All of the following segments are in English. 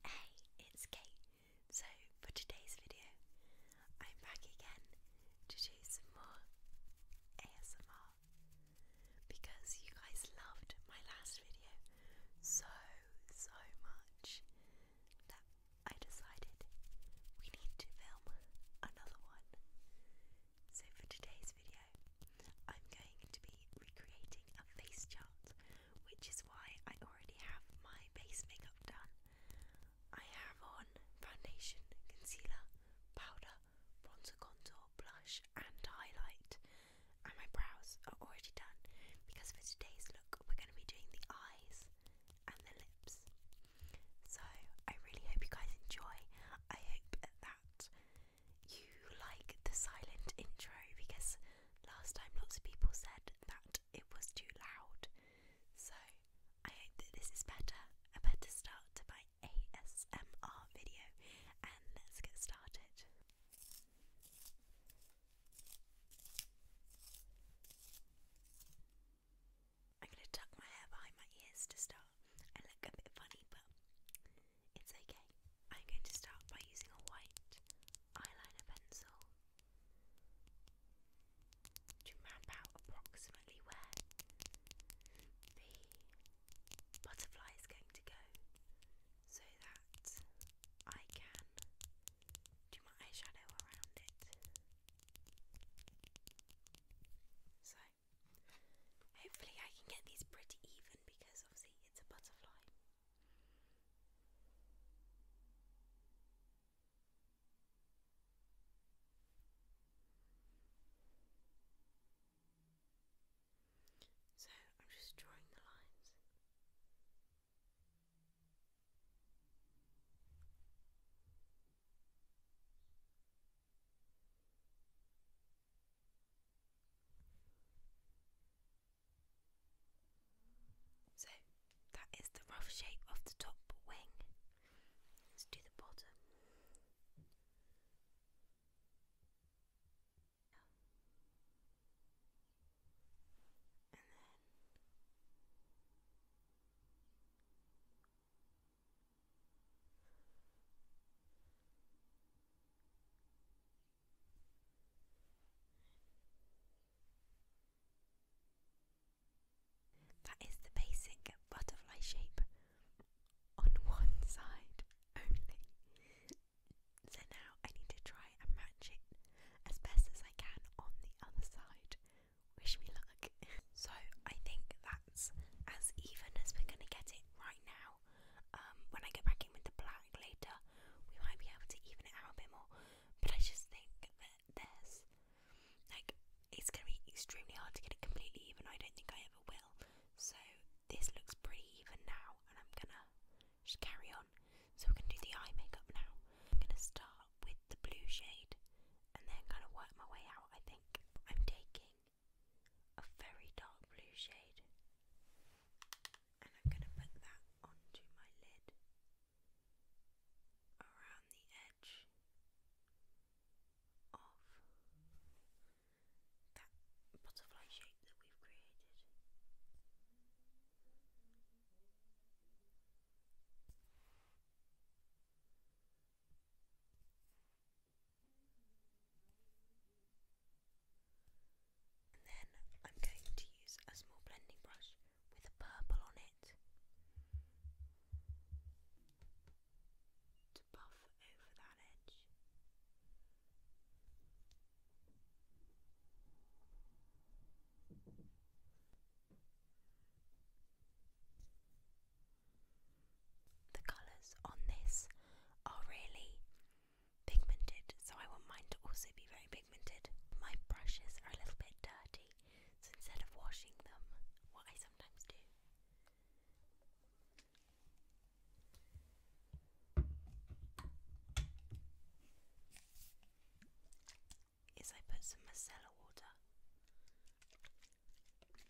Hey, it's Kate. So, for today's video, I'm back again to do some more ASMR because you guys loved my last video so, so much that I decided we need to film another one. So for today's video, I'm going to be recreating a face chart, which is why I already have my base makeup done. I have on foundation, concealer, powder, bronzer contour, blush and highlight. And my brows are already done because for today's look we're going to be doing the eyes and the lips. So I really hope you guys enjoy. I hope that you like the silent intro because last time lots of people said that it was too loud. So I hope that this is better, a better start to my ASMR video, and let's get started. I'm going to tuck my hair behind my ears to start. I look a bit funny, but it's okay. I'm going to start by using a white eyeliner pencil to map out approximately where the butterfly is going to go so that I can do my eyeshadow around it. So Hopefully I can get these pretty even because obviously it's a butterfly. So I'm just drawing the lines. So that is the rough shape of the top wing. Let's do the bottom. That is the basic butterfly shape on one side only. So now I need to try and match it as best as I can on the other side. Wish me luck. so I think that's as even as we're going to get it right now. Um, when I go back in with the black later, we might be able to even it out a bit more. But I just think that there's like it's gonna be extremely hard to get it completely even. I don't think I ever will. So this looks pretty even now, and I'm gonna just carry on. So we're gonna do the eye makeup now. I'm gonna start with the blue shade and then kind of work my way out. I think I'm taking a very dark blue shade, and I'm going to put that onto my lid around the edge of that butterfly shape that we've created then I'm going to use a small blending brush with a purple on it to buff over that edge. The colours on this are really pigmented, so I want mine to also be very pigmented. My brushes are a little bit dirty, so instead of washing them, what I sometimes do. Is I put some micellar water onto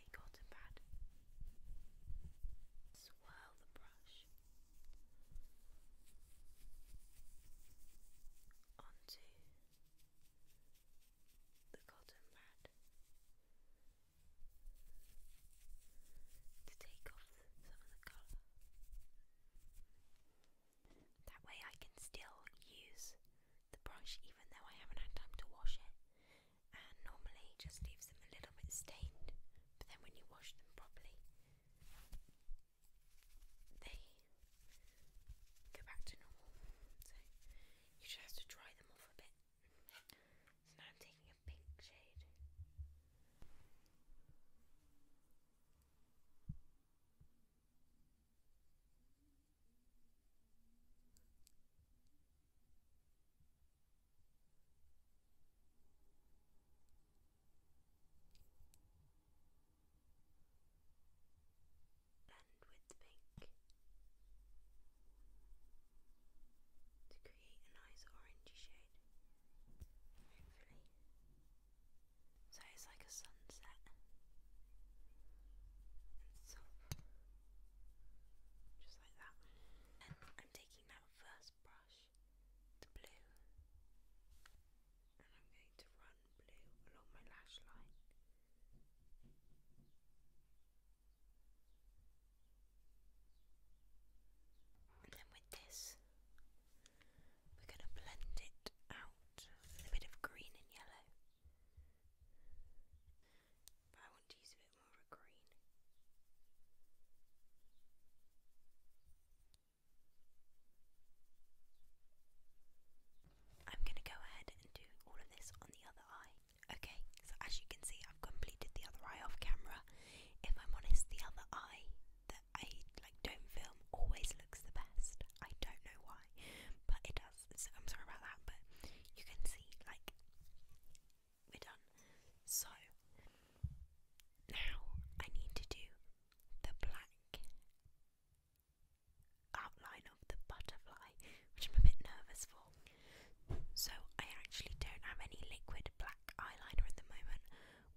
a cotton pad. Swirl the brush onto the cotton pad to take off some of the colour. That way I can still use the brush even though I haven't had time to wash it. And normally just leaves them a little bit stained, but then when you wash them properly, they go back to normal. So you just have to dry them off a bit. So now I'm taking a pink shade blend with pink to create a nice orangey shade, So it's like a sunset and top, just like that. And I'm taking that first brush, the blue, and I'm going to run blue along my lash line. And then with this, we're going to blend it out a bit of green and yellow. But I want to use a bit more green. I'm going to go ahead and do all of this on the other eye. Okay, so as you can see, I've completed the other eye off camera. If I'm honest, the other eye that I like don't film always looks the best. I don't know why, but it does. So I'm sorry about that, but you can see like we're done. So now I need to do the black outline of the butterfly, which I'm a bit nervous for. So I actually don't have any liquid black eyeliner at the moment,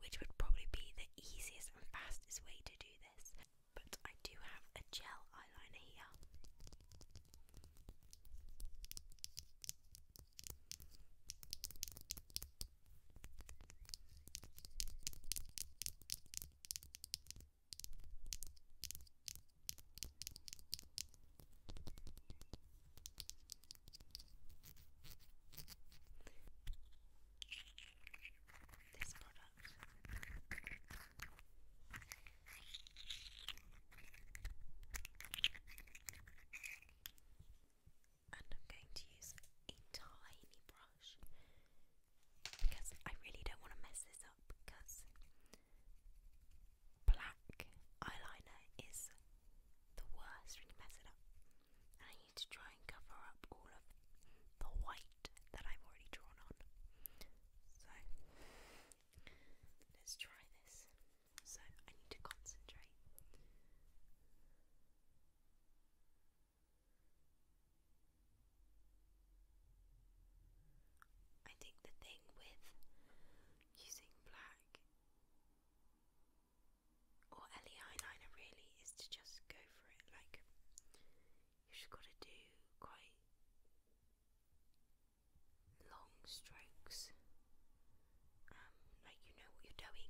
which would probably be the easiest and fastest way to do this. But I do have a gel eyeliner here. This product and I'm going to use a tiny brush because I really don't want to mess this up because black eyeliner is the worst when you mess it up. I need to try and cover up all of the white that I've already drawn on. So let's try this. So I need to concentrate. I think the thing with using black or LE eyeliner really is to just go for it. Like, you've just got to do quite long strokes, um, like you know what you're doing.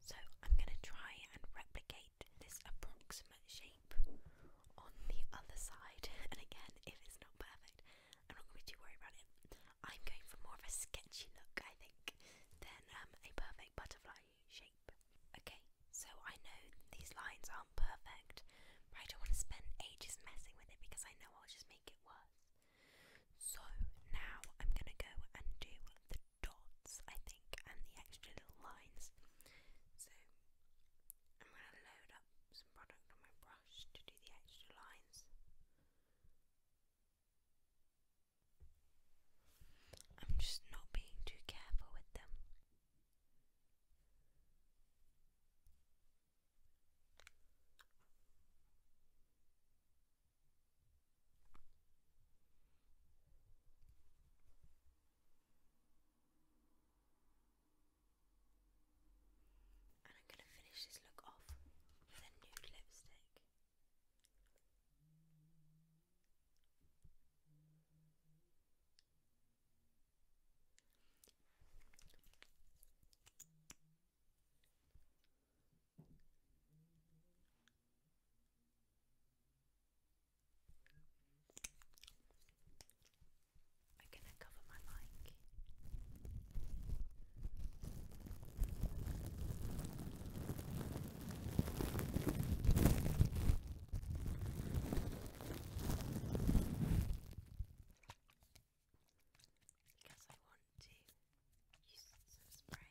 So I'm going to try and replicate this approximate shape on the other side. And again, if it's not perfect, I'm not going to be about it. I'm going for more of a sketchy look, I think, than um, a perfect butterfly shape. Okay, so I know these lines aren't perfect, but I don't want to spend ages messing with it because I know I'll just make it worse. So now I'm going to go and do the dots, I think, and the extra little lines. So I'm going to load up some product on my brush to do the extra lines. I'm just not being too careful with them. And I'm going to finish this look off with a nude lipstick. I'm going to cover my mic because I want to use some spray.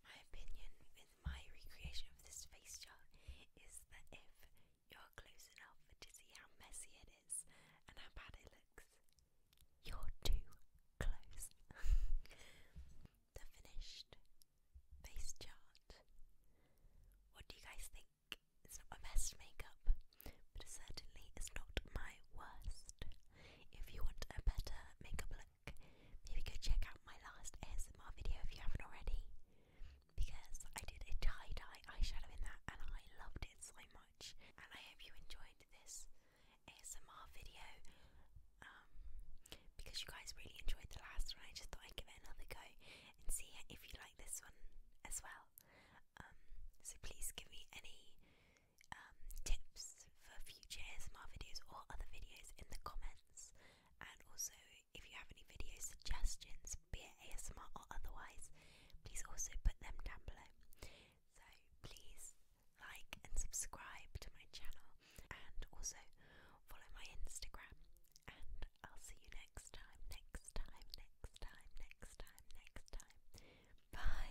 My opinion with my recreation of this face chart is that if you're close enough to see how messy it is and how bad it looks, you're too close. the finished face chart. What do you guys think? It's not my best makeup, but it certainly is not my worst. If you want a better makeup look, look. Maybe go check out my last ASMR video if you haven't already, because I did a tie dye eyeshadow in that and I loved it so much. And I hope you enjoyed this ASMR video um, because you guys really enjoyed the last one. I just thought I'd give it another go and see if you like this one as well. Um, so please give me any um, tips for future ASMR videos or other videos in the comments. And also, if you have any video suggestions, be it ASMR or otherwise, please also put them down below. So, please like and subscribe to my channel, and also follow my Instagram. And I'll see you next time, next time, next time, next time, next time. Bye.